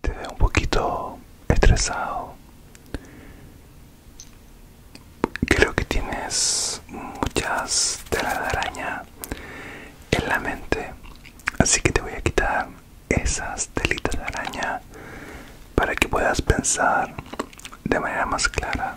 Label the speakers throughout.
Speaker 1: te veo un poquito estresado. Creo que tienes muchas telas de araña en la mente, así que te voy a quitar esas telitas de araña para que puedas pensar de manera más clara.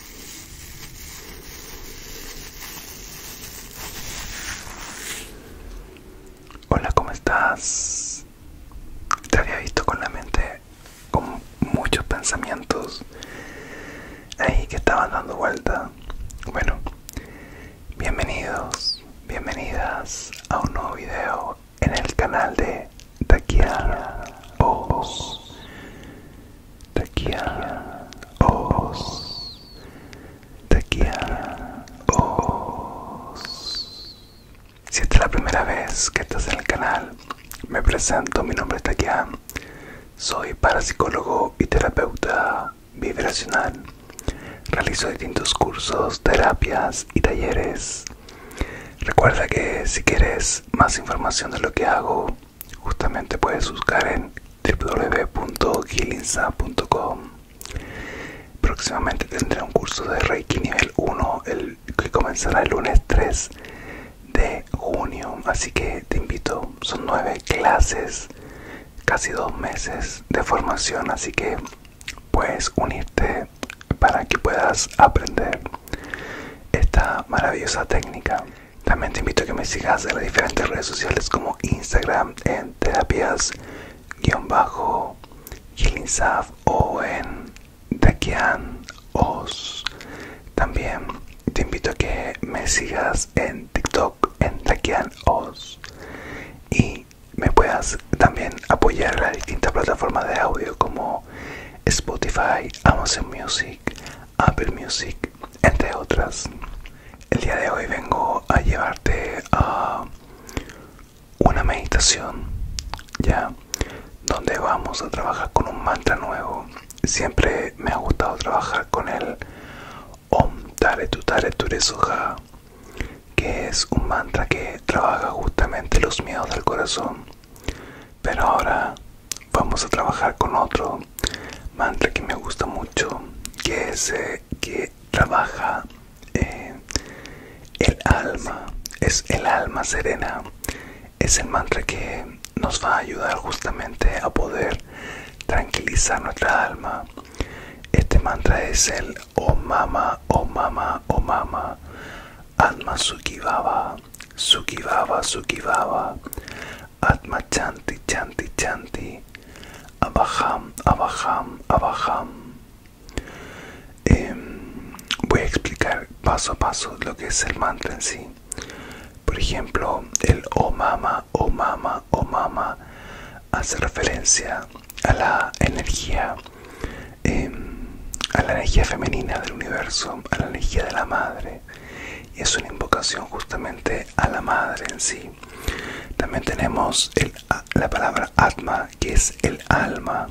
Speaker 1: Hola, ¿cómo estás? Te había visto con la mente con muchos pensamientos ahí que estaban dando vuelta. Bueno, bienvenidos, bienvenidas a un nuevo video en el canal de Taquiana Ojos Taquia os. Taquia os.
Speaker 2: Si esta es la primera vez que estás en el canal, me presento, mi nombre es Taquia. Soy parapsicólogo y terapeuta vibracional. Realizo distintos cursos, terapias y talleres. Recuerda
Speaker 1: que si quieres más información de lo que hago, justamente puedes buscar en www.gilinsa.com próximamente tendré un curso de reiki nivel 1 que comenzará el lunes 3 de junio así que te invito son nueve clases casi dos meses de formación así que
Speaker 2: puedes unirte para que puedas aprender esta maravillosa técnica también te invito a
Speaker 1: que me sigas en las diferentes redes sociales como Instagram en terapias-healingsaf o en Dakian También te invito a que me sigas en TikTok en Dakian y me puedas también apoyar en las distintas plataformas de audio como Spotify, Amazon Music, Apple Music, entre otras. El día de hoy vengo a llevarte a una meditación, ya, donde vamos a trabajar con un mantra nuevo. Siempre me ha gustado trabajar con el Om Tare Tu Tare que es un mantra que trabaja justamente los miedos del corazón. Pero ahora vamos a trabajar con otro mantra que me gusta mucho que es el eh, que trabaja eh, el alma es el alma serena es el mantra que nos va a ayudar justamente a poder tranquilizar nuestra alma este mantra es el o oh mama mama mama atma sukhi Sukibaba, Baba, Atma Chanti, Chanti, Chanti, Abaham, Abaham,
Speaker 2: Abaham. Em, voy a explicar paso a paso lo que es el mantra en sí. Por ejemplo, el Omama, Omama, Mama, Mama, Mama hace referencia a la energía, em, a la energía femenina del universo, a la energía de la madre y es una invocación justamente a la madre en sí. También tenemos la palabra Atma, que es el alma,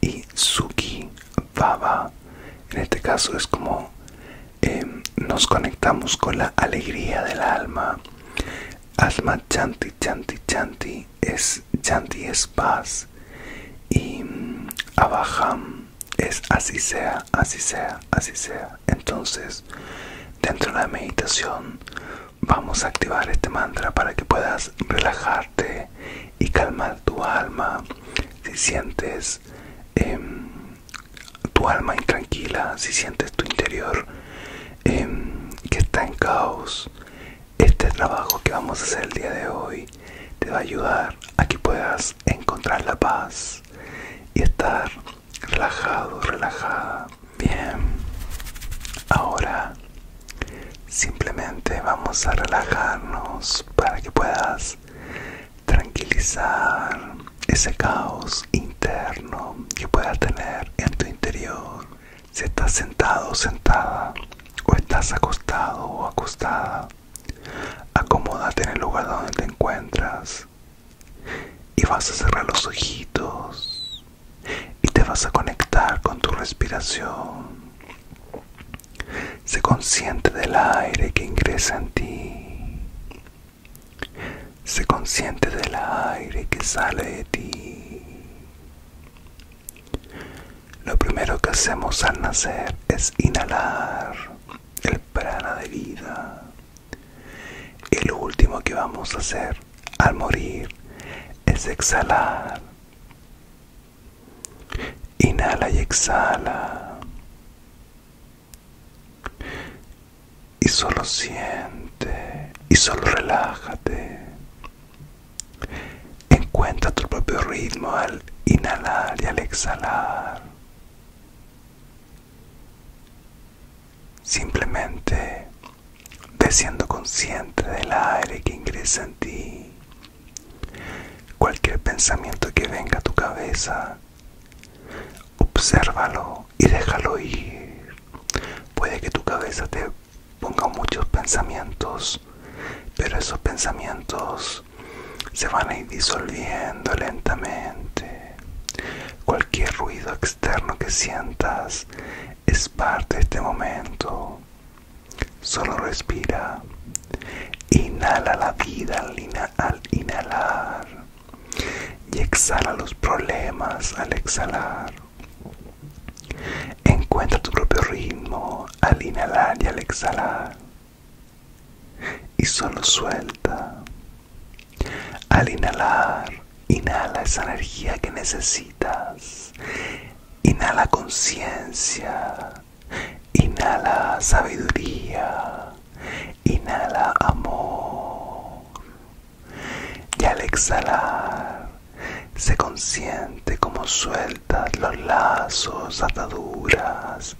Speaker 2: y Suki, Baba, en este caso es
Speaker 1: como em, nos conectamos con la alegría del alma. Atma Chanti, Chanti, Chanti, es, Chanti es paz, y Abaham es así sea, así sea, así sea. Entonces, dentro de la meditación vamos a activar este mantra para que puedas relajarte y calmar tu alma. Si sientes em, tu alma intranquila, si sientes tu interior em, que está en caos, este trabajo que vamos a hacer el día de hoy te va a ayudar a que puedas encontrar la paz y estar relajado, relajada. Bien, ahora simplemente vamos a relajarnos para que puedas tranquilizar ese caos interno que puedas tener en tu interior. Si estás sentado o sentada o estás acostado o acostada, acomódate en el lugar donde te encuentras y vas a cerrar los ojitos y te vas a conectar con tu respiración. Sé consciente del aire que ingresa en ti. Sé consciente del aire que sale de ti. Lo primero que hacemos al nacer es inhalar el prana de vida. Y lo último que vamos a hacer al morir es exhalar. Inhala y exhala. Y solo siente y solo relájate. Encuentra tu propio ritmo al inhalar y al exhalar. Simplemente de siendo consciente del aire que ingresa en ti. Cualquier pensamiento que venga a tu cabeza, obsérvalo y déjalo ir. Puede que tu cabeza te ponga muchos pensamientos, pero esos pensamientos se van a ir disolviendo lentamente. Cualquier ruido externo que sientas es parte de este momento. Solo respira. Inhala la vida al, inhalar y exhala los problemas al exhalar. Encuentra tu propio ritmo al inhalar y al exhalar y solo suelta. Al inhalar, inhala esa energía que necesitas. Inhala conciencia. Inhala sabiduría. Inhala amor. Y al exhalar, se consiente como sueltas los lazos, ataduras,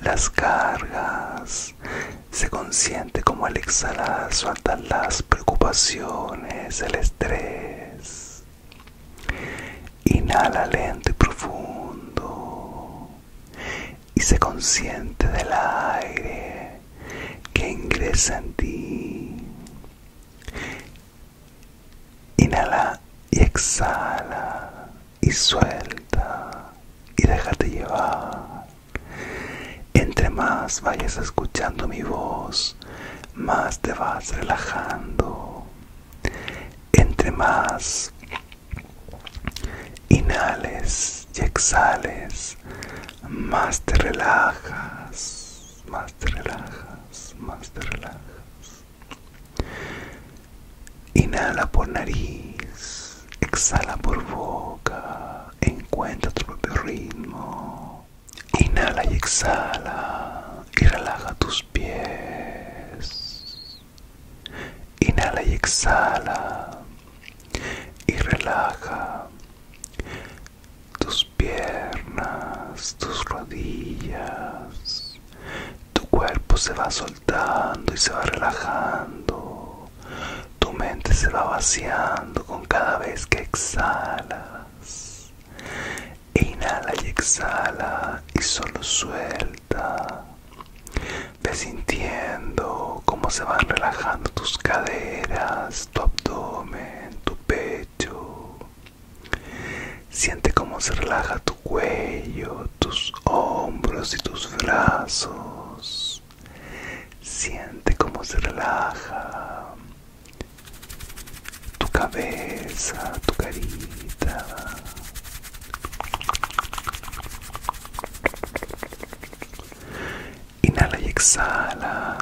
Speaker 1: las cargas se consiente como al exhalar sueltan las preocupaciones, el estrés. Inhala lento y profundo. Y se consciente del aire que ingresa en ti. Inhala y exhala y suelta y déjate llevar. Entre más vayas escuchando mi voz, más te vas relajando. Entre más inhales y exhales, más te relajas, más te relajas, más te relajas. Inhala por nariz, exhala por boca, encuentra tu propio ritmo. Inhala y exhala y relaja tus pies. Inhala y exhala y relaja tus piernas, tus rodillas, tu cuerpo se va soltando y se va relajando. Tu mente se va vaciando con cada vez que exhalas. Inhala y exhala y solo suelta. Ve sintiendo cómo se van relajando tus caderas, tu abdomen, tu pecho. Siente cómo se relaja tu cuello tus hombros y tus brazos. Siente como se relaja tu cabeza, tu carita. Inhala y exhala.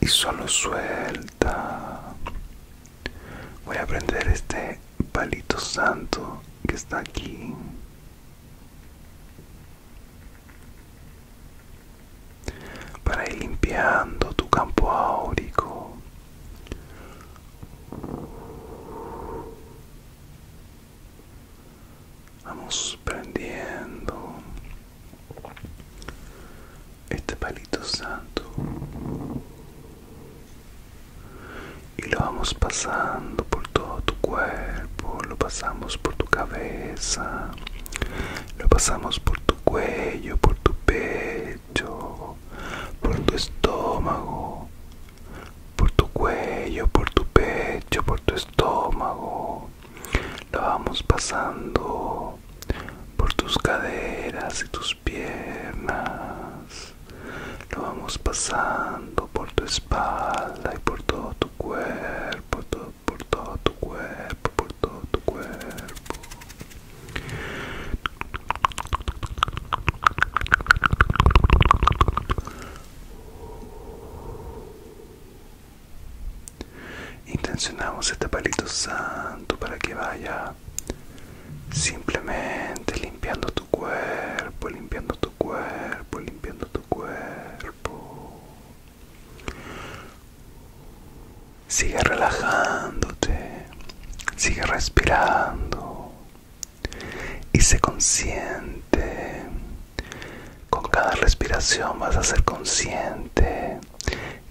Speaker 1: Y solo suelta. Voy a aprender este palito santo que está aquí para ir limpiando tu campo áurico vamos prendiendo este palito santo y lo vamos pasando por todo tu cuerpo, lo pasamos por tu cabeza, lo pasamos por tu cuello, por tu pecho, por tu estómago, por tu cuello, por tu pecho, por tu estómago, lo vamos pasando por tus caderas y tus piernas, lo vamos pasando por tu espalda y por todo tu cuerpo, por todo tu cuerpo, por todo tu cuerpo. Intencionamos este palito santo para que vaya simplemente limpiando tu cuerpo, limpiando tu cuerpo, limpiando tu cuerpo. Sigue relajándote, sigue respirando y sé consciente. Con cada respiración vas a ser consciente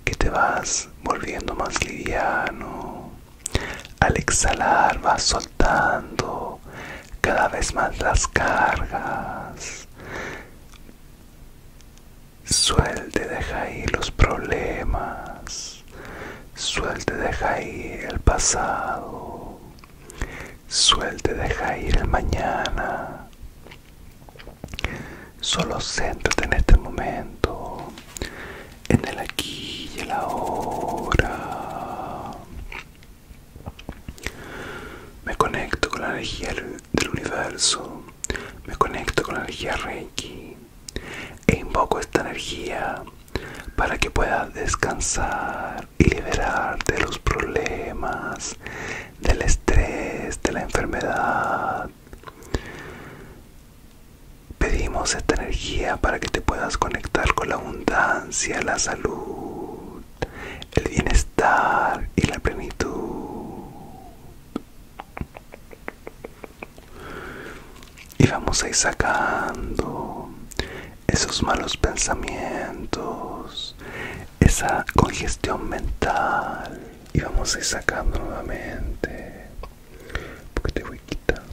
Speaker 1: que te vas volviendo más liviano, al exhalar vas soltando cada vez más las cargas. Suelte, deja ir los problemas. Suelte, deja ir el pasado. Suelte, deja ir el mañana. Solo céntrate en este momento en el aquí y la hora Me conecto con la energía del universo, me conecto con la energía Reiki e invoco esta energía para que pueda descansar y liberar de los problemas, del estrés, de la enfermedad. Pedimos esta energía para que te puedas conectar con la abundancia, la salud, el bienestar y la plenitud. Y vamos a ir sacando esos malos pensamientos, esa congestión mental. Y vamos a ir sacando nuevamente porque te voy quitando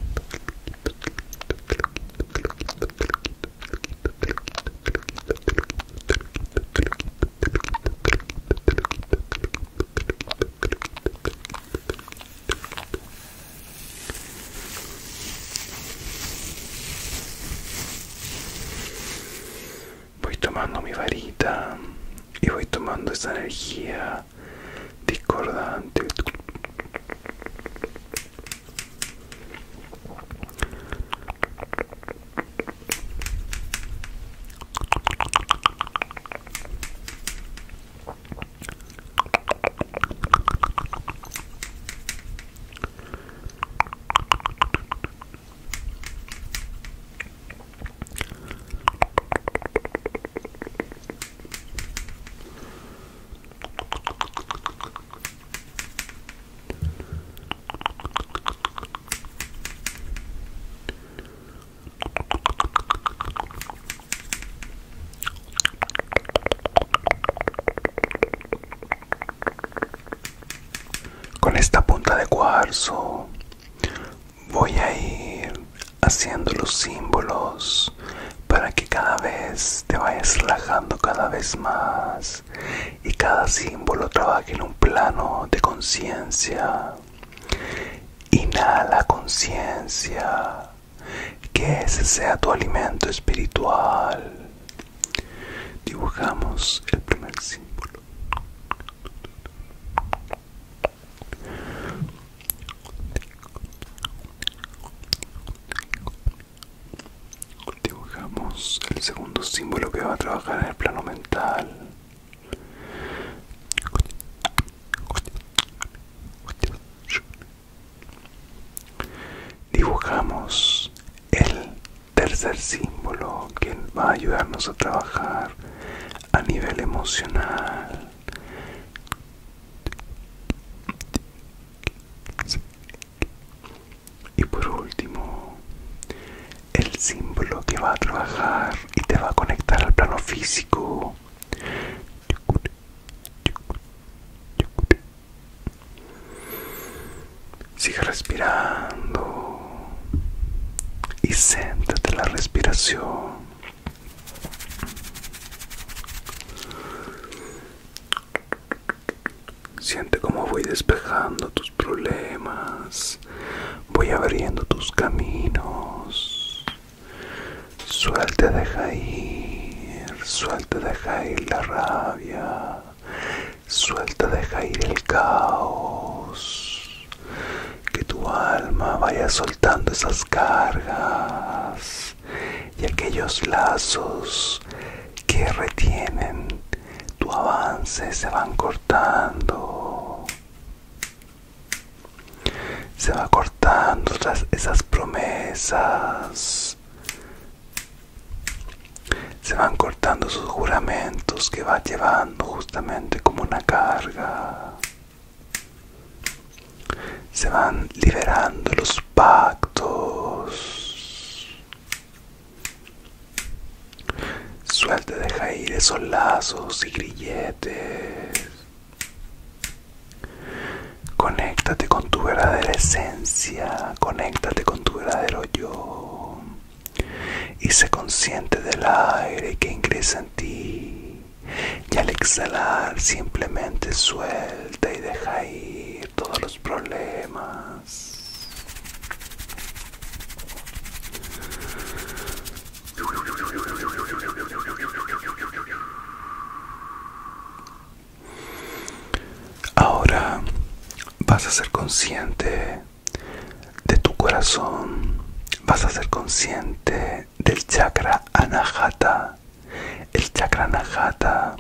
Speaker 1: Voy tomando mi varita y voy tomando esa energía discordante con esta punta de cuarzo voy a ir haciendo los símbolos para que cada vez te vayas relajando cada vez más y cada símbolo trabaje en un plano de conciencia. Inhala conciencia, que ese sea tu alimento espiritual. Dibujamos el primer símbolo. Dibujamos el segundo símbolo que va a trabajar en el plano mental. Dibujamos el tercer símbolo que va a ayudarnos a trabajar a nivel emocional. Y por último, el símbolo que va a trabajar y te va a conectar al plano físico. Sigue respirando y siéntate la respiración. Siente como voy despejando tus problemas, voy abriendo tus caminos. Suelta, deja ir, suelta, deja ir la rabia, suelta, deja ir el caos. Que tu alma vaya soltando esas cargas y aquellos lazos que retienen tu avance se van cortando. Se van cortando esas promesas. Se van cortando esos juramentos que va llevando justamente como una carga. Se van liberando los pactos. Suelte deja ir esos lazos y grilletes. Conéctate con tu verdadera esencia, conéctate con tu verdadero yo. Y sé consciente del aire que ingresa en ti. Y al exhalar simplemente suelta y deja ir todos los problemas. Ahora vas a ser consciente de tu corazón, vas a ser consciente del chakra anahata el Chakra nagata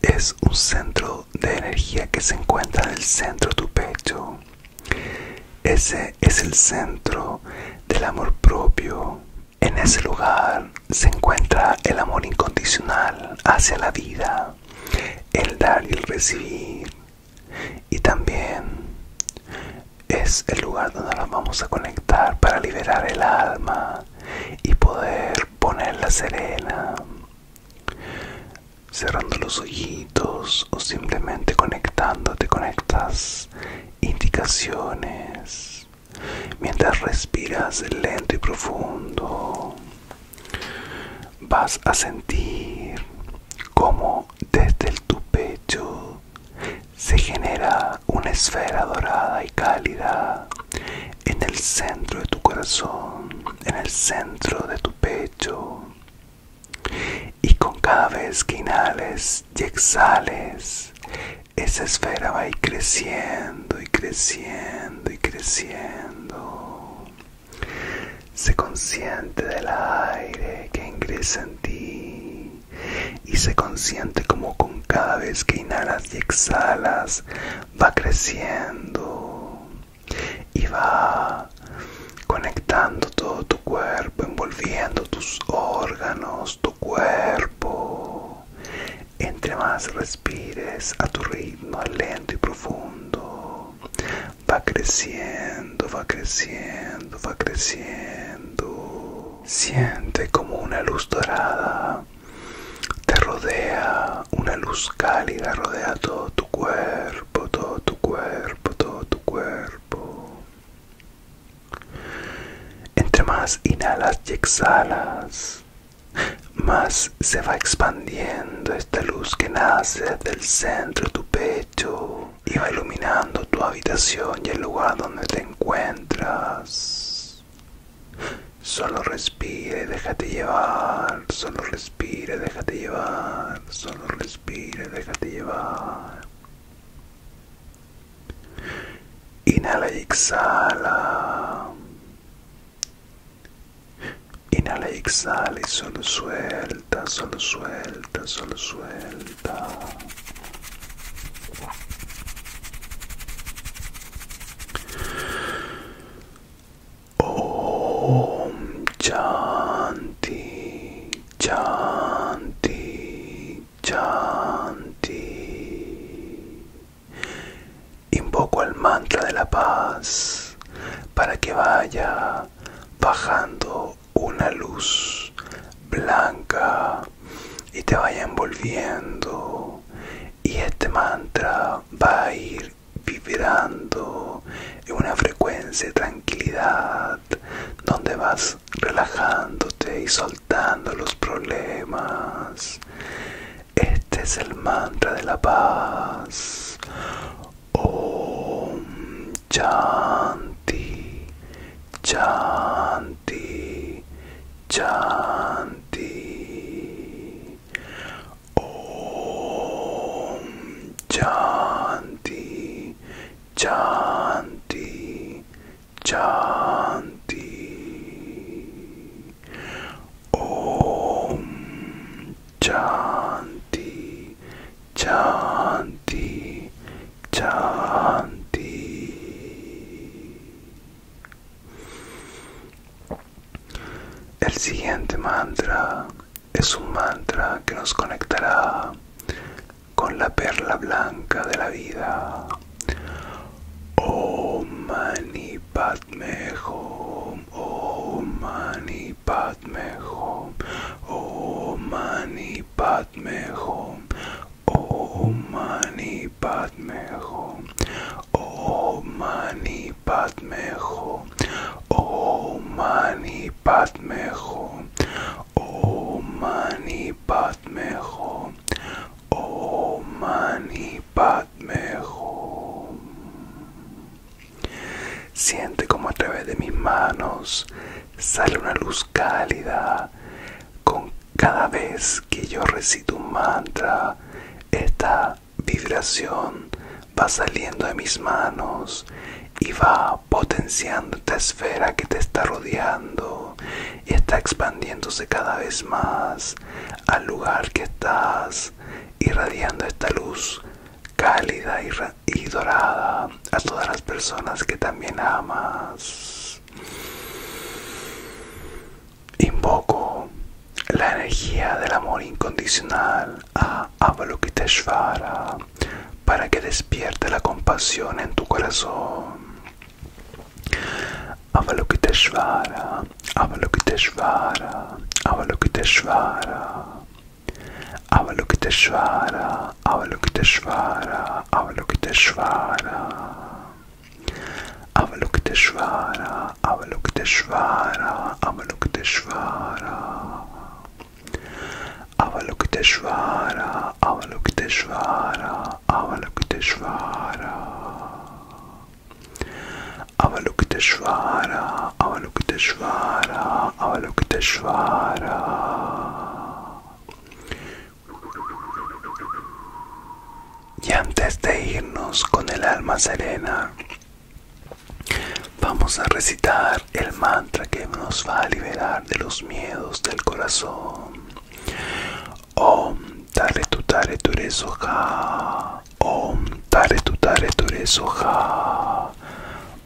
Speaker 1: es un centro de energía que se encuentra en el centro de tu pecho. Ese es el centro del amor propio. En ese lugar se encuentra el amor incondicional hacia la vida, el dar y el recibir. Y también es el lugar donde nos vamos a conectar para liberar el alma y poder ponerla serena cerrando los ojitos o simplemente conectándote con estas indicaciones mientras respiras lento y profundo vas a sentir como desde tu pecho se genera una esfera dorada y cálida en el centro de tu corazón, en el centro de tu pecho. Y con cada vez que inhales y exhales, esa esfera va creciendo y creciendo y creciendo. Se consciente del aire que ingresa en ti y se consiente como con cada vez que inhalas y exhalas va creciendo y va conectando todo tu cuerpo, envolviendo tus órganos, tu cuerpo. Entre más respires a tu ritmo lento y profundo, va creciendo, va creciendo, va creciendo. Siente como una luz dorada te rodea, una luz cálida rodea todo tu cuerpo, todo tu cuerpo, todo tu cuerpo. Entre más inhalas y exhalas, más se va expandiendo esta luz que nace del centro de tu pecho y va iluminando tu habitación y el lugar donde te encuentras. Solo respire, déjate llevar. Solo respire, déjate llevar. Solo respire, déjate llevar. Inhala y exhala. Inhala y exhala y solo suelta, solo suelta, solo suelta. Om Chanti, Chanti, Chanti. Invoco el mantra de la paz para que vaya bajando una luz blanca y te vaya envolviendo y este mantra va a ir vibrando en una frecuencia de tranquilidad donde vas relajándote y soltando los problemas este es el mantra de la paz Om Chanti Chanti Chanti Om Chanti Chanti Chanti Om Chanti Chanti Chanti. El siguiente mantra es un mantra que nos conectará con la perla blanca de la vida. Om Mani Padme Hum, Om Mani Padme Hum, Om Mani Oh Mani Padme Oh Mani Padme Oh Mani Padme Oh Mani Padme Oh Mani Padme Siente como a través de mis manos sale una luz cálida con cada vez que yo recito un mantra, esta vibración va saliendo de mis manos y va potenciando esta esfera que te está rodeando y está expandiéndose cada vez más al lugar que estás, irradiando esta luz cálida y, y dorada a todas las personas que también amas. Invoco la energía del amor incondicional a Avalokiteshvara para que despierte la compasión en tu corazón. Avalokiteshvara, Avalokiteshvara, Avalokiteshvara. Avalokiteshvara, Avalokiteshvara, Avalokiteshvara. Avalokiteshvara, Avalokiteshvara, Avalokiteshvara. Avalokiteshvara, Avalokiteshvara, Avalokiteshvara. Avalokiteshvara, Avalokiteshvara, Avalokiteshvara. Y antes de irnos con el alma serena, vamos a recitar el mantra que nos va a liberar de los miedos del corazón. Om Tare Tutare Ture Soha. Om Tare Tutare Ture Soha.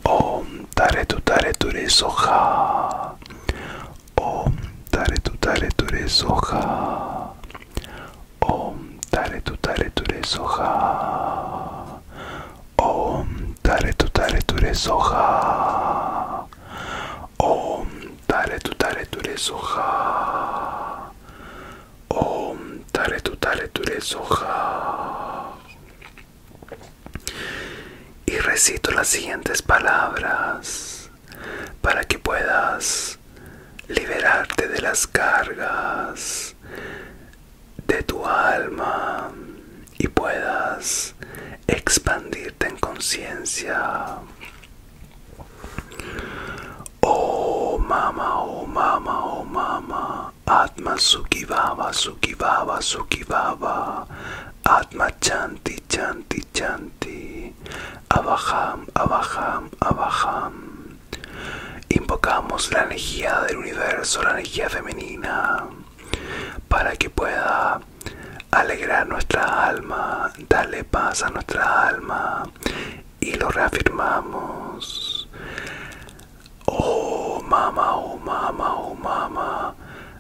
Speaker 1: Om Tare Tutare Ture Soha. Om Tare Tutare re Soja. Om Tare Tutare re Soja. Om Tare Tutare re Soja. Om Tare Tutare Ture Soja. Om Tare Tutare eres Soja. Y recito las siguientes palabras para que puedas liberarte de las cargas de tu alma y puedas expandirte en conciencia. Oh mama, oh mama, oh mama, Atma Sukivava, suki Sukivava, Atma Chanti, Chanti, Chanti. Abajam, Abaham, Abaham,
Speaker 2: Invocamos la energía del universo, la energía femenina, para que pueda alegrar nuestra alma, darle paz a nuestra alma y lo
Speaker 1: reafirmamos. Oh, mama, oh, mama, oh, mama.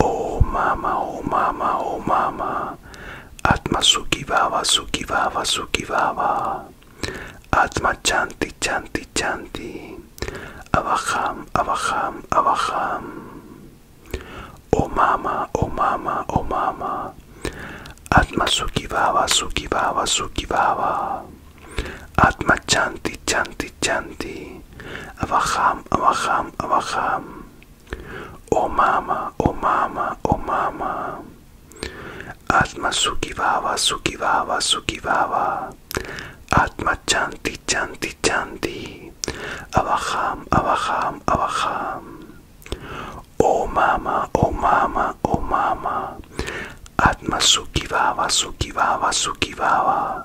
Speaker 1: Oh mama, oh mama, oh mama. Atma suki baba, suki baba, suki baba. Atma chanti, chanti, chanti. Abaham, abaham, abaham. Oh mama, oh mama, oh mama. Atma suki baba, suki baba, suki baba. Atma chanti, chanti, Chanti, Avaham, Avaham, Avaham. Oh mama, oh mama, oh mama. Atma Sukhi Vava, Sukhi Vava, Sukhi Vava. Atma Chanti, Chanti, Chanti. Avaham, Avaham, Avaham. Oh mama, oh mama, oh mama. Atma Sukhi Vava, Sukhi Vava, Sukhi Vava.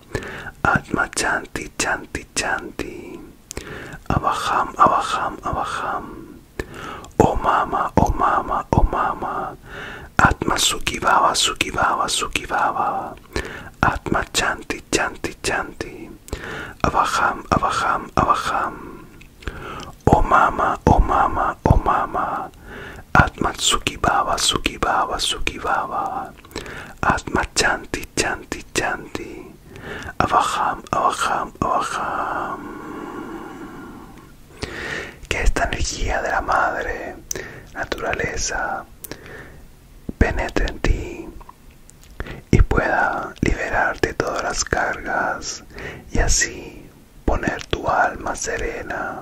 Speaker 1: Atma Chanti Chanti Chanti Abaham Abaham Abaham Oh Mama Oh Mama Oh Mama Atma Sukibaba Sukibaba Sukibaba Atma Chanti Chanti Chanti Abaham Abaham Abaham Oh Mama Oh Mama Oh Mama Atma baba Tsukibaba, baba Atma Chanti, Chanti, Chanti. Avaham, Avaham, Avaham Que esta energía de la madre, naturaleza, penetre en ti y pueda liberarte de todas las cargas y así poner tu alma serena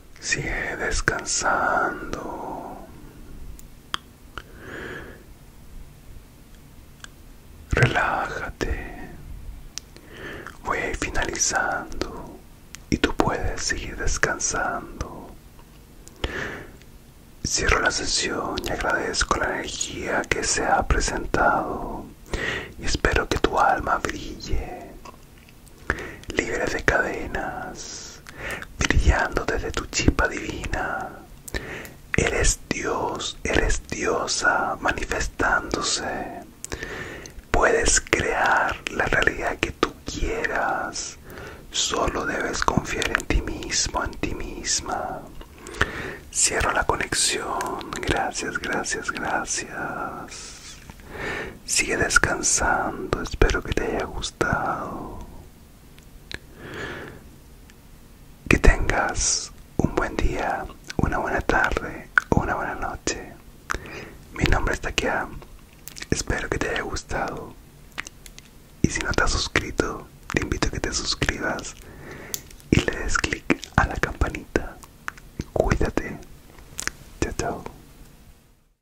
Speaker 1: Sigue descansando. Relájate. Voy a finalizando y tú puedes seguir descansando. Cierro la sesión y agradezco la energía que se ha presentado y espero que tu alma brille libre de cadenas, brillando desde tu chipa divina. Eres Dios, eres diosa manifestándose. Puedes crear la realidad que tú quieras. Solo debes confiar en ti mismo, en ti misma. Cierro la conexión. Gracias, gracias, gracias. Sigue descansando, espero que te haya gustado. Que tengas un buen día, una buena tarde o una buena noche. Mi nombre es Takia, espero que te haya gustado. Y si no te has suscrito, te invito a que te suscribas y le des clic a la campanita. Cuídate. Chao, chao.